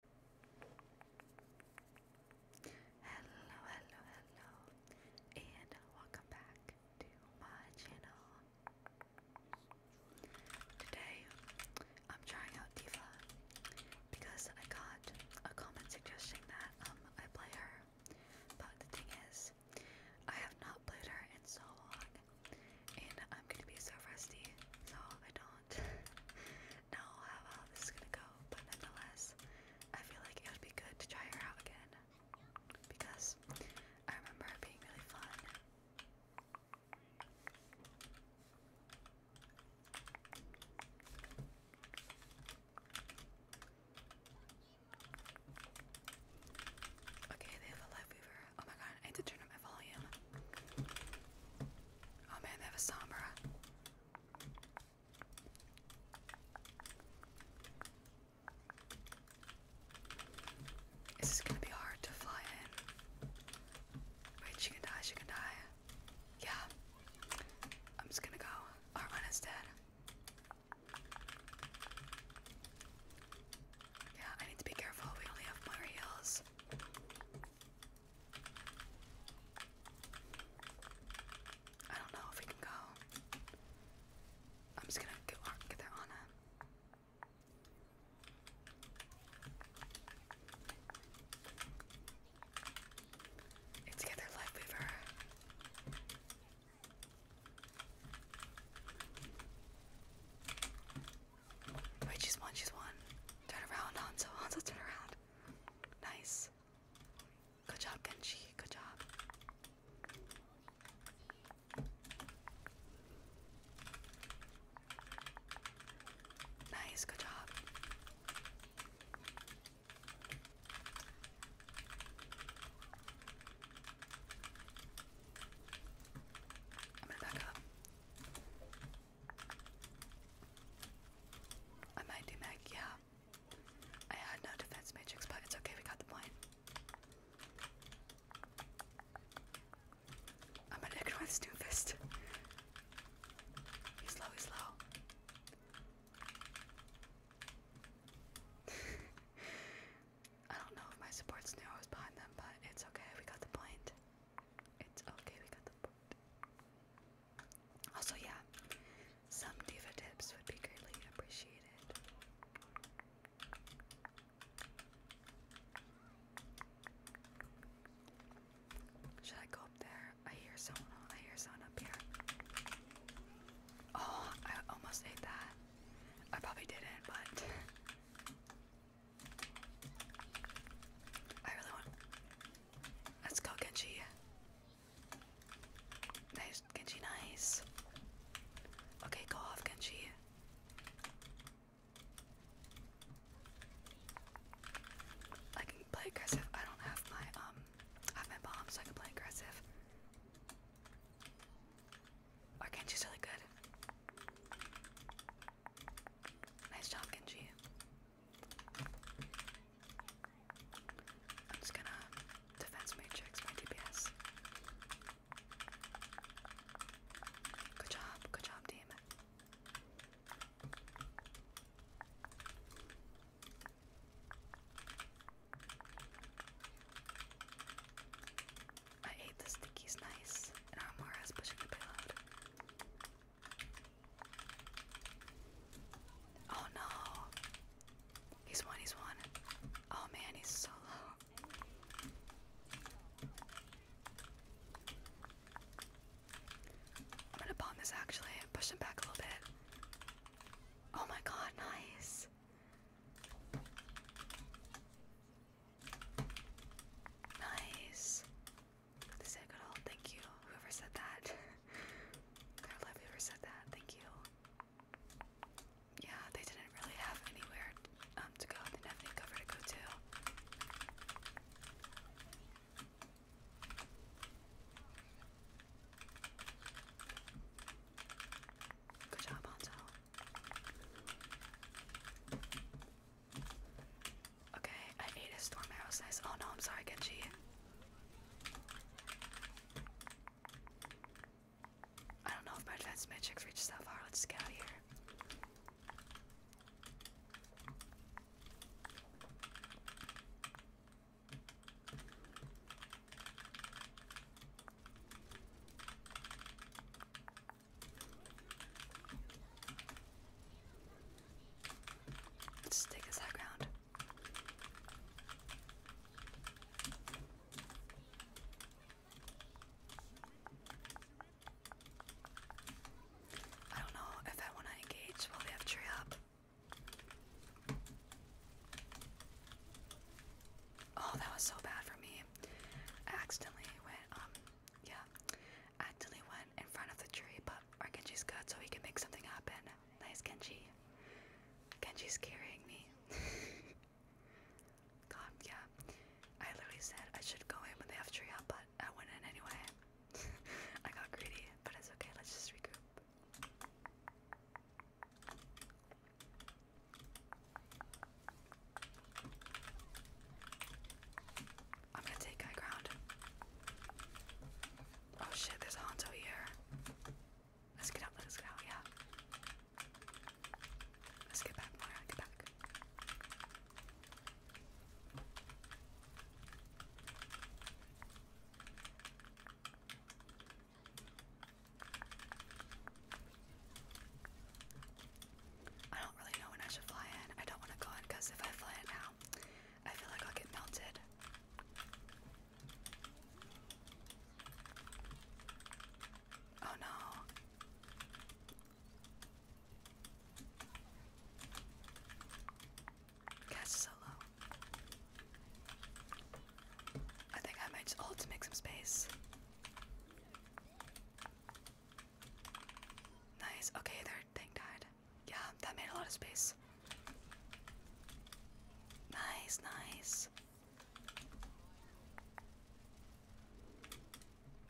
Hello, hello, hello, and welcome back to my channel. Today, I'm trying out Diva because I got a comment suggesting that um, I play her, but the thing is, I have not played her in so long, and I'm gonna be so rusty, so I don't do how well this is gonna go, but nonetheless, I feel like it would be good to try her out again because I remember her being really fun. Okay, they have a live weaver. Oh my god, I need to turn up my volume. Oh man, they have a Sombra. Is this gonna be hard to fly in? Wait, she can die, she can die. Yeah. I'm just gonna go. Armand is dead. Yeah, I need to be careful. We only have more I don't know if we can go. I'm just gonna get there on him. It's get their life weaver. Wait, she's one, she's one. Turn around, Hanzo, Hanzo, turn around. Nice. Good job, Genji. Good job. Nice. Good job. i back up. I might do mag, yeah. I had no defense matrix, but it's okay, we got the point. I'm gonna ignore this new He's low, he's low. I don't know if my support's new, I was behind them, but it's okay, we got the point. It's okay, we got the point. Also, yeah, some diva tips would be greatly appreciated. Should I go up there? I hear someone. I hear someone up here. Oh, I almost ate that. I probably didn't, but I really want. Let's go, Genji. Nice, Genji, nice. Okay, go off, Genji. I can play aggressive. I don't have my um have my bomb so I can play aggressive. Our Genji's really good. Nice job, Genji. I'm just gonna defense matrix my DPS. Good job, good job, team. I hate the sticky's nice, and Amara's pushing the payload. Oh no. He's one, he's one. Oh man, he's so low. I'm gonna bomb this actually. Push him back a little bit. Oh my god, nice. Nice. This is good all. Thank you, whoever said that. I love whoever said that. Thank you. Yeah, they didn't really have anywhere um, to go. They didn't have any to go to. Good job, Anto. Okay, I ate his storm arrows. Oh no, I'm sorry, Genji. I don't know if my advanced matrix reached that far. Let's get out of here. Let's take his back around. I don't know if I want to engage while they have tree up. Oh, that was so bad for me. accidentally went, um, yeah. Actually went in front of the tree, but our good, so he can make something happen. Nice Genji. Genji's carrying me. God, yeah. I literally said I should go in when they have tree up, but I went in anyway. I got greedy, but it's okay. Let's just regroup. I'm gonna take high ground. Oh shit, there's a Hanzo here. Let's get out, let's get out, yeah. Let's get back, Moira, get back. I don't really know when I should fly in. I don't want to go in because if I fly in now, I feel like I'll get melted. Oh no. Cast solo. I think I might just ult to make some space. Nice. Okay, their thing died yeah, that made a lot of space. Nice, nice.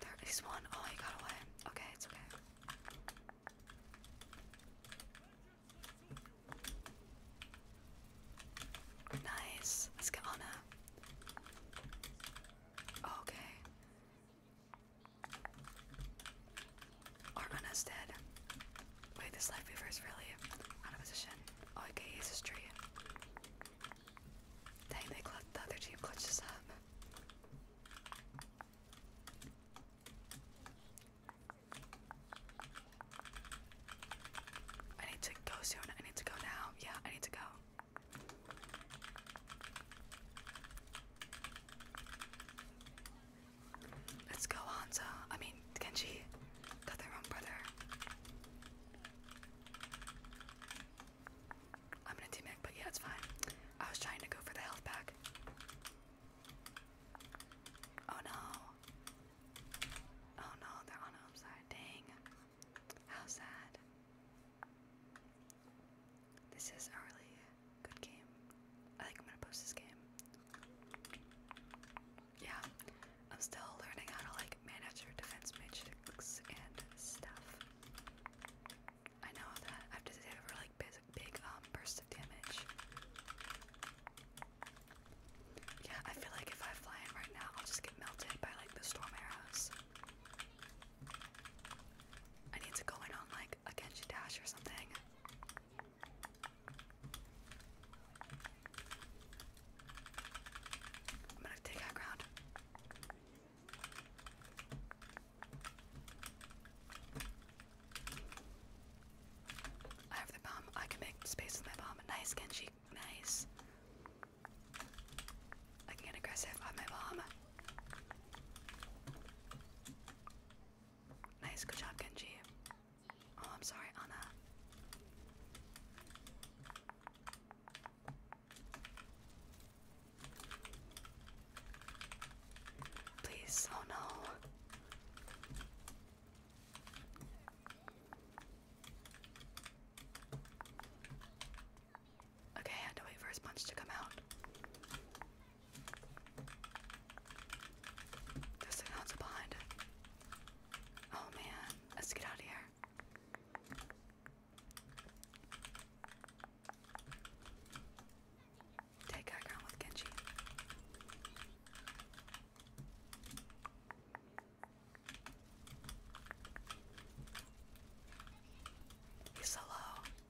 There is Oh, he got away. Okay, it's okay. Nice. Let's get on her. Okay. Or Anna's dead. Wait, this life is really out of position. Oh, tree. Dang, they the other team clutched us up. I need to go soon. I need to go now. Yeah, I need to go. Let's go, Hanzo. I mean, Kenji got their own brother. I'm gonna team but yeah, it's fine. I was trying to go for the health pack. Oh no. Oh no, they're on home side. Dang. How sad. This is early. Good game. I think I'm gonna post this game. Yeah, I'm still learning how to like manage your defense matrix and stuff. I know that I have to deliver like big, big um, damage. Yeah, I feel like if I fly in right now, I'll just get melted by like the storm arrows. I need to go in on like a Genji dash or something. I'm gonna take high ground. I have the bomb. I can make space with my bomb. Nice, Genji. Nice. I can get aggressive on my bomb. Nice, good job, Genji. Oh, I'm sorry, Anna. Please, oh no. Okay, I had to wait for his punch to come out. The signal's behind it. Oh man, let's get out of here. Take high ground with Genji. He's so low.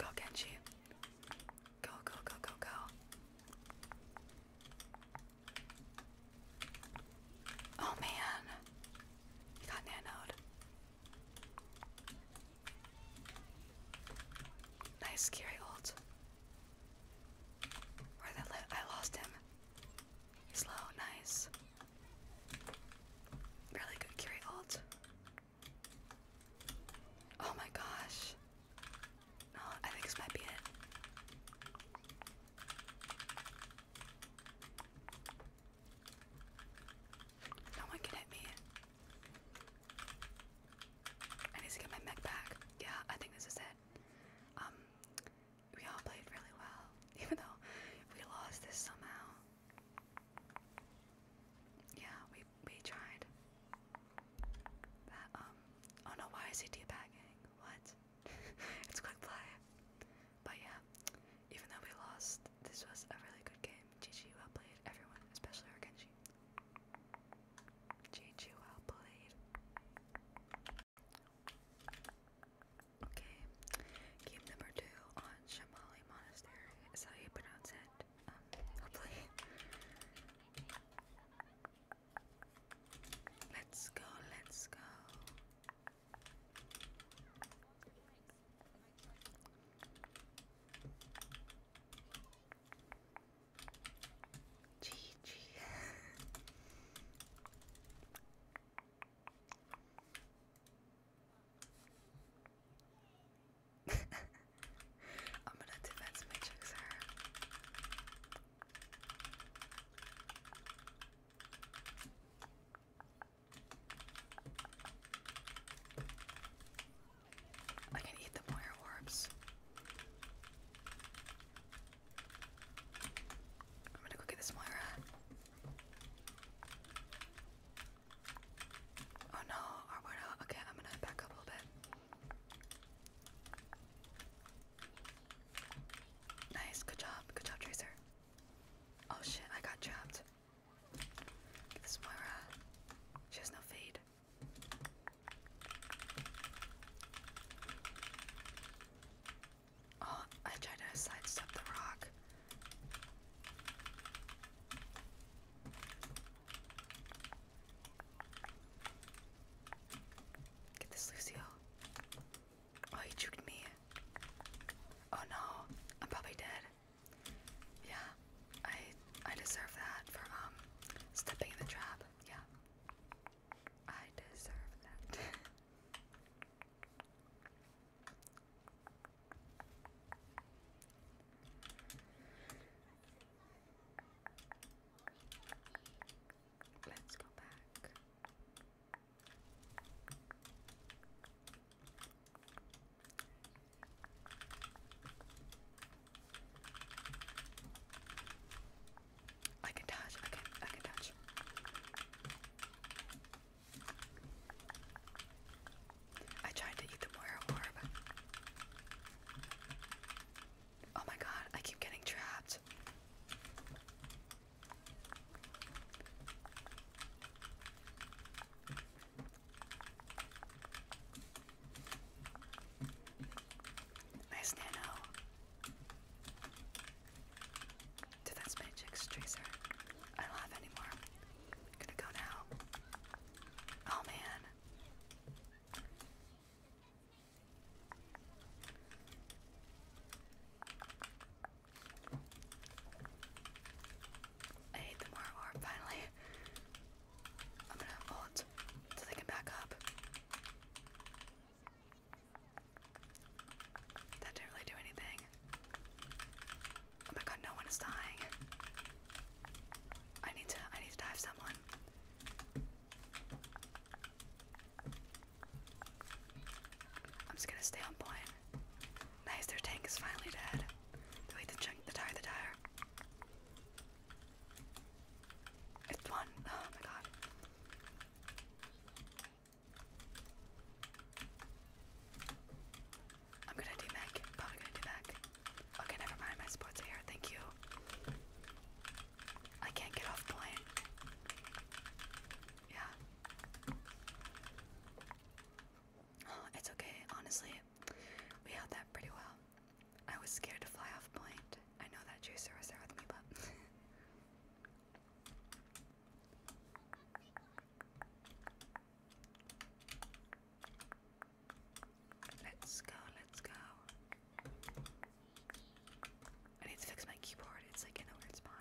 Go, Genji. Go, go, go, go, go. Oh man, he got nanoed. Nice, scary old. Where the I lost him. He's low, nice. Really good carry ult. Oh my gosh. No, I think this might be it. No one can hit me. I need to get my mech back. Yeah, I think this is it. Um, we all played really well, even though we lost this somehow. Yeah, we we tried. um oh no, why is he debagging? What? it's quick play. But yeah, even though we lost, this was a really good game. GG well played, everyone, especially our Genji. GG well played. Okay, game number two on Shamali Monastery. Is how you pronounce it. Um, Let's go, let's go. Gigi. I'm gonna defense matrix her. I can eat the moyer orbs. I'm gonna go get this Moira. Oh no, our Moira. Okay, I'm gonna back up a little bit. Nice, good job, good job, Tracer. Oh shit, I got trapped. Get this Moira. She has no fade. Oh, I tried to sidestep the rock. Get this Lucio. Oh, he juked me. Oh no, I'm probably dead. Yeah, I I deserve that for um stepping in the trap. Yeah. I deserve that. Let's go back. I can touch. I can. I can touch. I tried to eat the Moira Oh my god! I keep getting trapped. Nice nano. Did that Magic's Tracer? I don't have any gonna go now. Oh man. I hate the more finally. I'm gonna ult so they can back up. That didn't really do anything. Oh my god, no one is dying. I need to I need to dive someone. I'm just gonna stay on point. Nice, their tank is finally dead. Wait, the chunk, the tire, the tire. It's one. Oh my god. I'm gonna do Mac. Probably gonna do Mac. Okay, never mind. My sports here. Thank you. I can't get off point. Yeah. it's okay. Honestly, we held that pretty well. I was scared to fly off point. I know that Juicer was there with me, but Let's go, let's go. I need to fix my keyboard, it's like in a weird spot.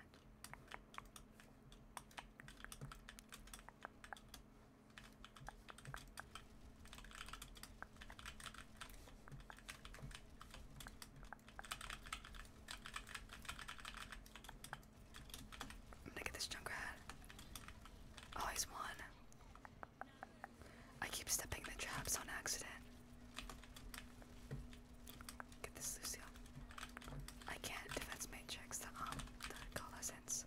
I'm gonna get this Junkrat. Oh, won. I keep stepping the traps on accident. Get this Lucio. I can't defense matrix the um the coalescence.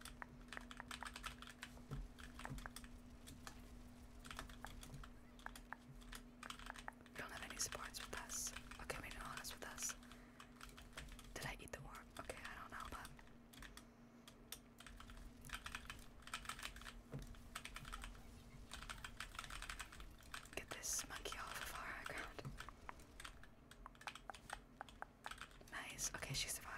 We don't have any supports with us. Okay, maybe no with us. Did I eat the worm? Okay, I don't know, but. Get this monkey off of our ground. Nice. Okay, she survived.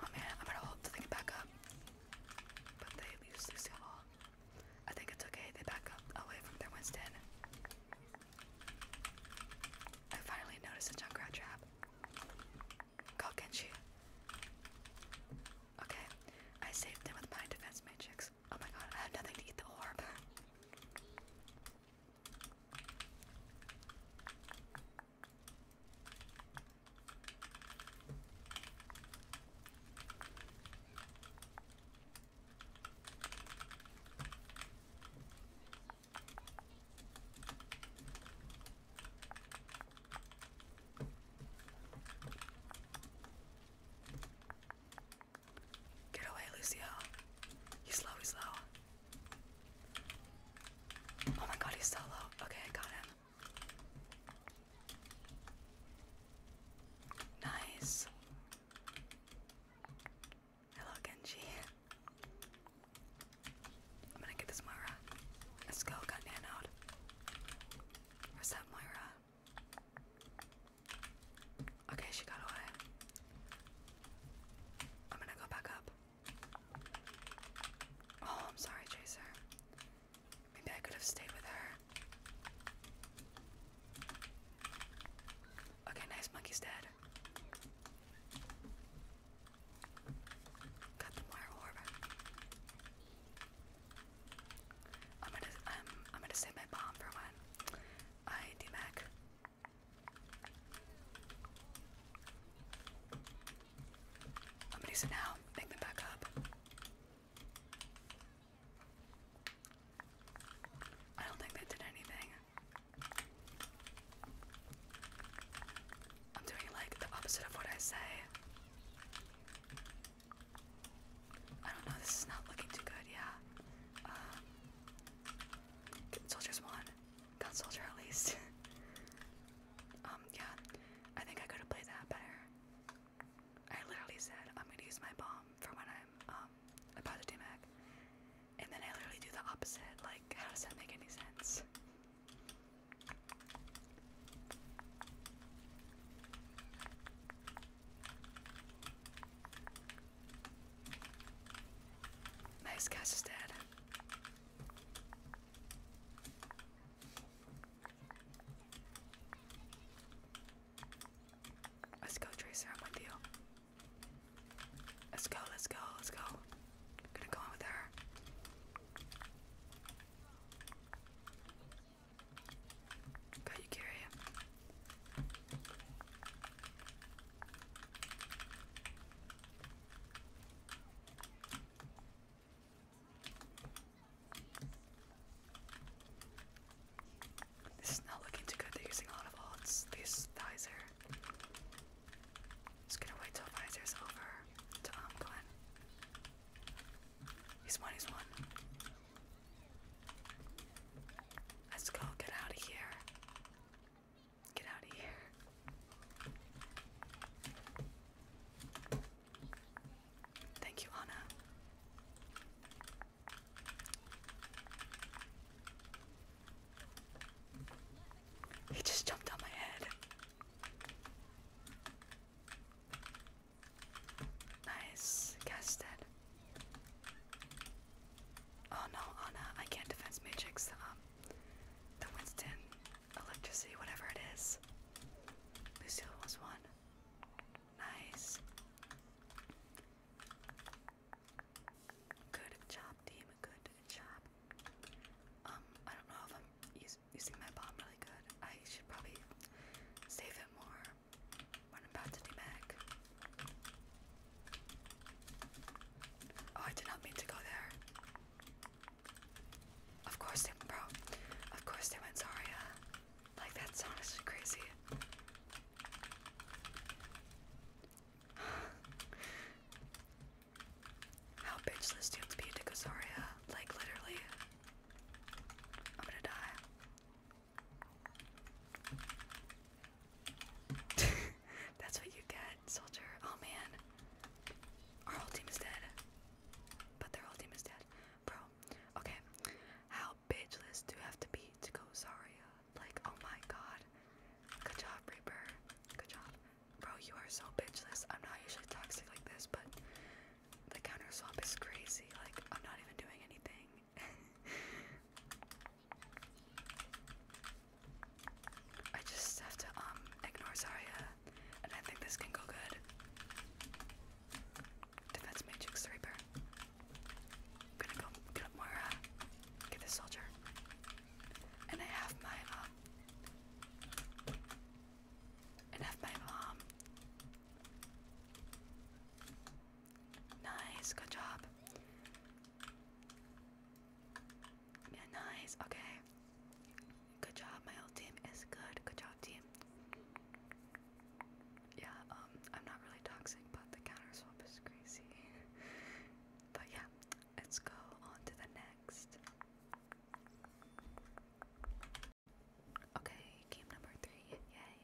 Oh man, I'm gonna hope that back up. But they lose the ball. I think it's okay, they back up away from their Winston. I finally noticed a Junkrat trap. Call Kenshi. Okay, I saved them with my defense matrix. Oh my god, I have nothing to eat the orb. Get away, Lucio. You slow, you slow. Oh my god, he's so low. Okay, I got him. Nice. Hello, Genji. I'm gonna get this Moira. Let's go, got Nan out. Where's that Okay, she got away. I'm gonna go back up. Oh, I'm sorry, Chaser. Maybe I could have stayed with her. Okay, nice. Monkey's dead. Got the wire orb. I'm gonna, um, I'm gonna save my bomb for when I DMAC. I'm gonna use it now. Make them back up. I don't think that did anything. I'm doing like the opposite of what I say. I don't know, this is not looking too good, yeah. Um, soldiers won. Gun soldier at least. Um, yeah, I think I could have played that better. I literally said, I'm gonna use my bomb for when I'm um, about to do DMAC. And then I literally do the opposite. Like, how does that make any sense? Nice cast is dead. Let's go, Tracer. I'm with you. Let's go, let's go, let's go. I'm gonna go in with her. Got you, carry him. This is not looking too good. They're using a lot of ults. They Visor. Just gonna wait till Visor's over to um Glenn. He's one, he's one. Let's go, get out of here. Get out of here. Thank you, Anna. He just jumped on my head. Nice, casted. Oh no, Anna, I can't defense matrix um the Winston electricity, whatever it is. Lucille was one. Nice. Good job, team. Good job. Um, I don't know if I'm using my bomb really good. I should probably save it more when I'm about to demag. Oh, I did not mean to go there. Of course they bro. Of course they went Zarya. Like that's honestly crazy. How bitchless do you have to go Zarya? Like literally. I'm gonna die. that's what you get, soldier. Oh man. Our whole team is dead. But their whole team is dead. Bro. Okay. How bitchless do you have to be to go Sorry, Like, oh my god. Good job, Reaper. Good job. Bro, you are so bitchless. I'm not usually toxic like this, but the counter swap is crazy. Like, I'm not even doing anything. I just have to um ignore Zarya, and I think this can go good. Defense Matrix Reaper. I'm gonna go get up Moira, uh, get this soldier. And I have my um and have my mom. Um, nice, good job. Yeah, nice. Okay. Good job. My old team is good. Good job, team. Yeah, um, I'm not really toxic, but the counter swap is crazy. but yeah, let's go on to the next. Okay, game number three. Yay.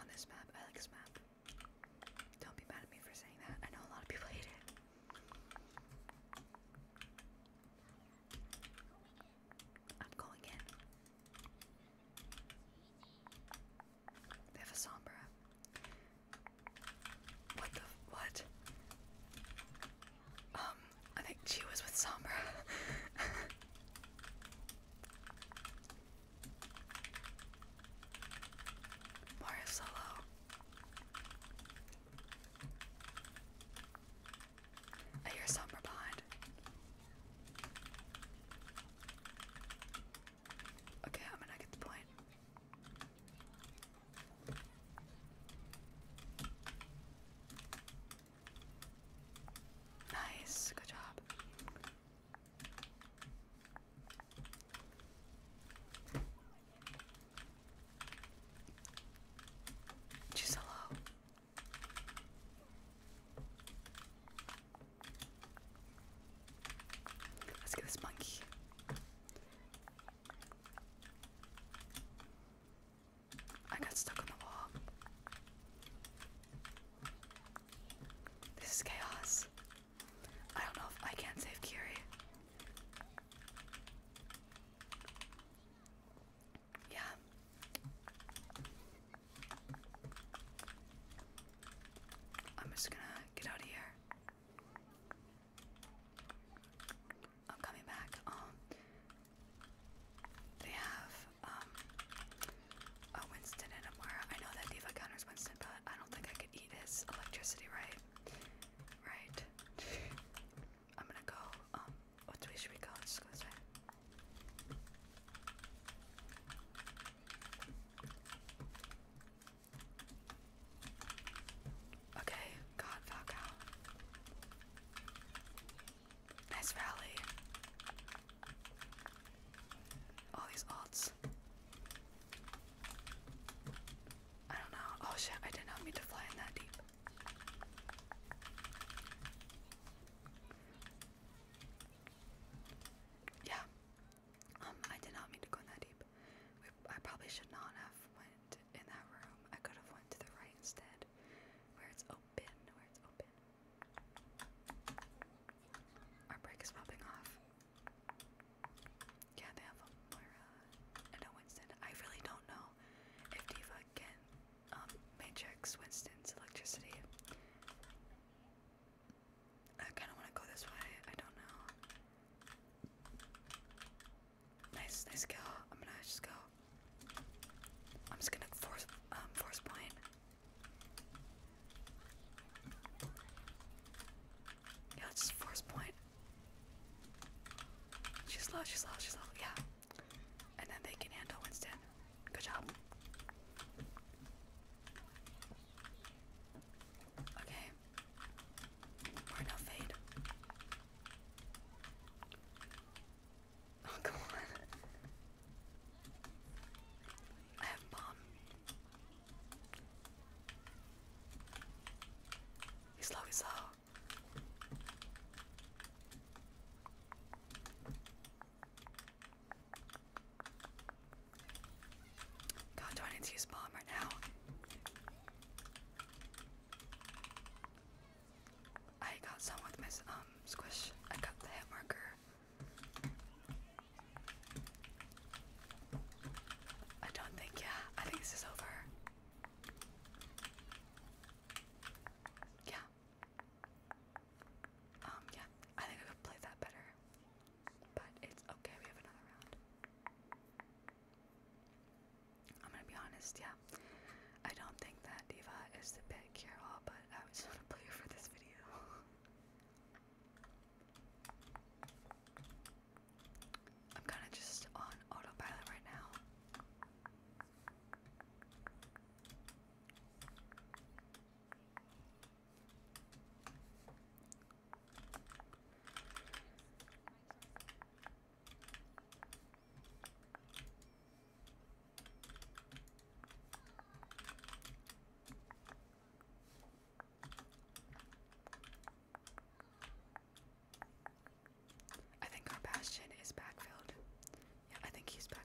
On this map, I like this map. Don't be mad at me for saying that. I know a lot of people hate it. I'm going in. They have a Sombra. What the what? Um, I think she was with Sombra. Mario you hear somewhere behind. Okay, I'm gonna get the point. Nice, good job. Just hello. Let's get this monkey. I got stuck on the wall. This is chaos. I don't know if I can save Kiri. Yeah. I'm just gonna get out of here. I'm coming back. Um, they have um Winston and a I know that Diva counters Winston, but I don't think I could eat his electricity right. Right. I'm gonna go, um, what way should we go? Let's go this Okay, God, Falcao. Nice valley. All these alts. I don't know. Oh shit, I did not mean to fly in that deep. Yeah. Um, I did not mean to go in that deep. I probably should not have went in that room. I could have went to the right instead, where it's open, where it's open. Our brake is popping off. Yeah, they have a Moira and Winston. I really don't know if Diva can um, matrix Winston's electricity. I kind of want to go this way. I don't know. Nice, nice kill. I'm gonna just go. I'm just gonna force, um, force point. Yeah, it's just force point. She's low, she's low, she's low, yeah. And then they can handle Winston. Good job. Okay. we now fade. Oh, come on. I have bomb. He's low, he's low. God, do I need to use bomb right now? I got someone with my um squish. I got the hit marker. I don't think yeah. I think this is over. Yeah. Um, yeah, I think I could play that better. But it's okay, we have another round. I'm gonna be honest, yeah. I don't think that Diva is the best cure all, but I was just wanna play for this video. I'm kind of just on autopilot right now. I think our Bastion is backfilled. Yeah, I think he's backfilled.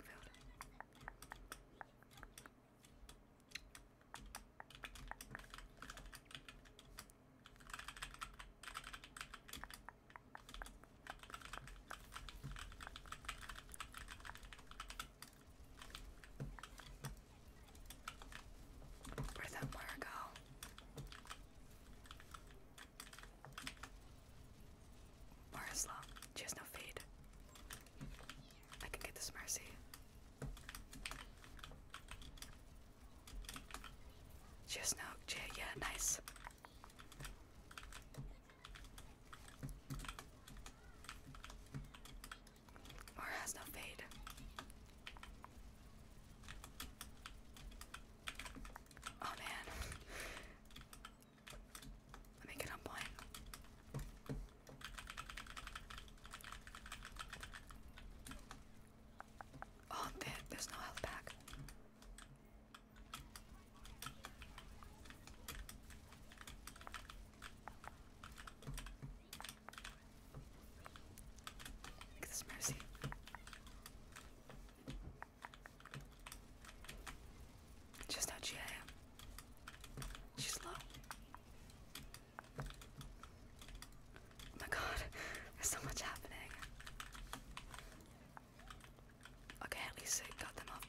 Where did Marisla, she has no fade. I can get this Mercy. She has no J, yeah, nice. Or has no fade. Oh man. Let me get on Oh, there, there's no health pack. Look this mercy. Just how she am. She's low. Oh my god, there's so much happening. Okay, at least it got them off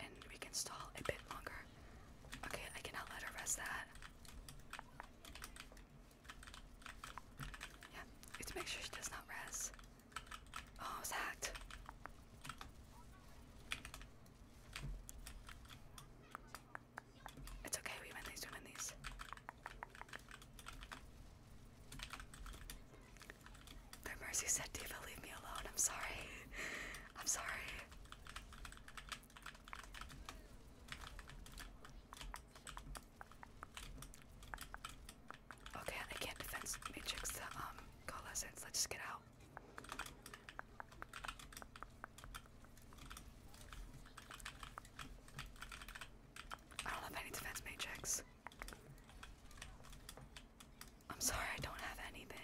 And we can stall a bit longer. Okay, I cannot let her rest that. Yeah, we have to make sure she does not rest. Oh, I hacked. It's okay, we win these, we these. Their mercy said, Diva, leave me alone. I'm sorry. I'm sorry. Okay, I can't defense matrix um coalescence. Let's just get out. I don't have any defense matrix. I'm sorry, I don't have anything.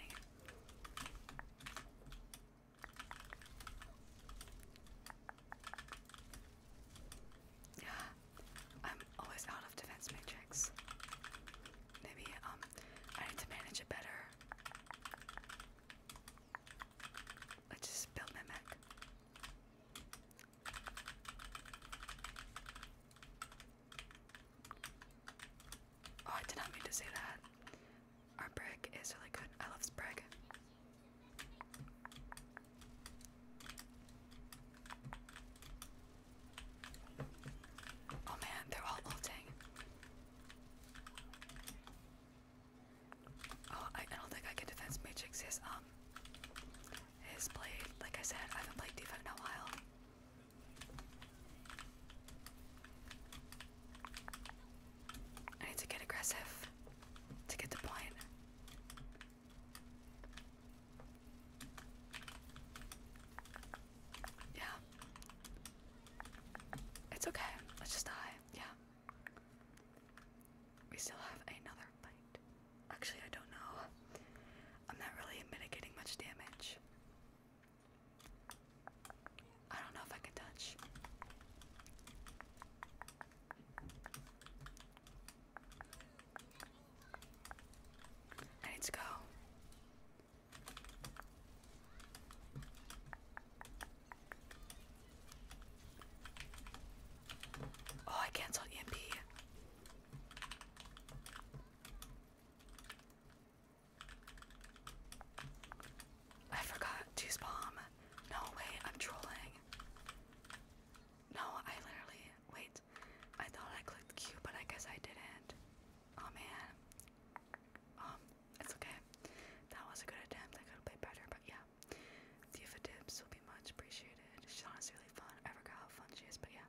I'm always out of defense matrix. Maybe um I need to manage it better. Let's just build my mech. Oh, I did not mean to say that. Our brick is really good. I love Sprague. Oh man, they're all ulting. Oh, I, don't think I can defense matrix his um his blade. Like I said, I haven't played defense in a while. I need to get aggressive to get the point. Yeah. It's okay. Let's just die. Yeah. We still have another fight. Actually, I don't know. I'm not really mitigating much damage. I don't know if I can touch. I need to go. Oh, I canceled EMP. I forgot to spam. No way, I'm trolling. No, I literally wait. I thought I clicked Q, but I guess I didn't. Oh man. Um, it's okay. That was a good attempt. I could have played better, but yeah. Diva tips will be much appreciated. She's honestly really fun. I forgot how fun she is, but yeah.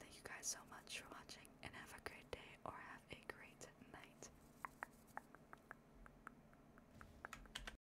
Thank you guys so much for watching, and have a great day or have a great night.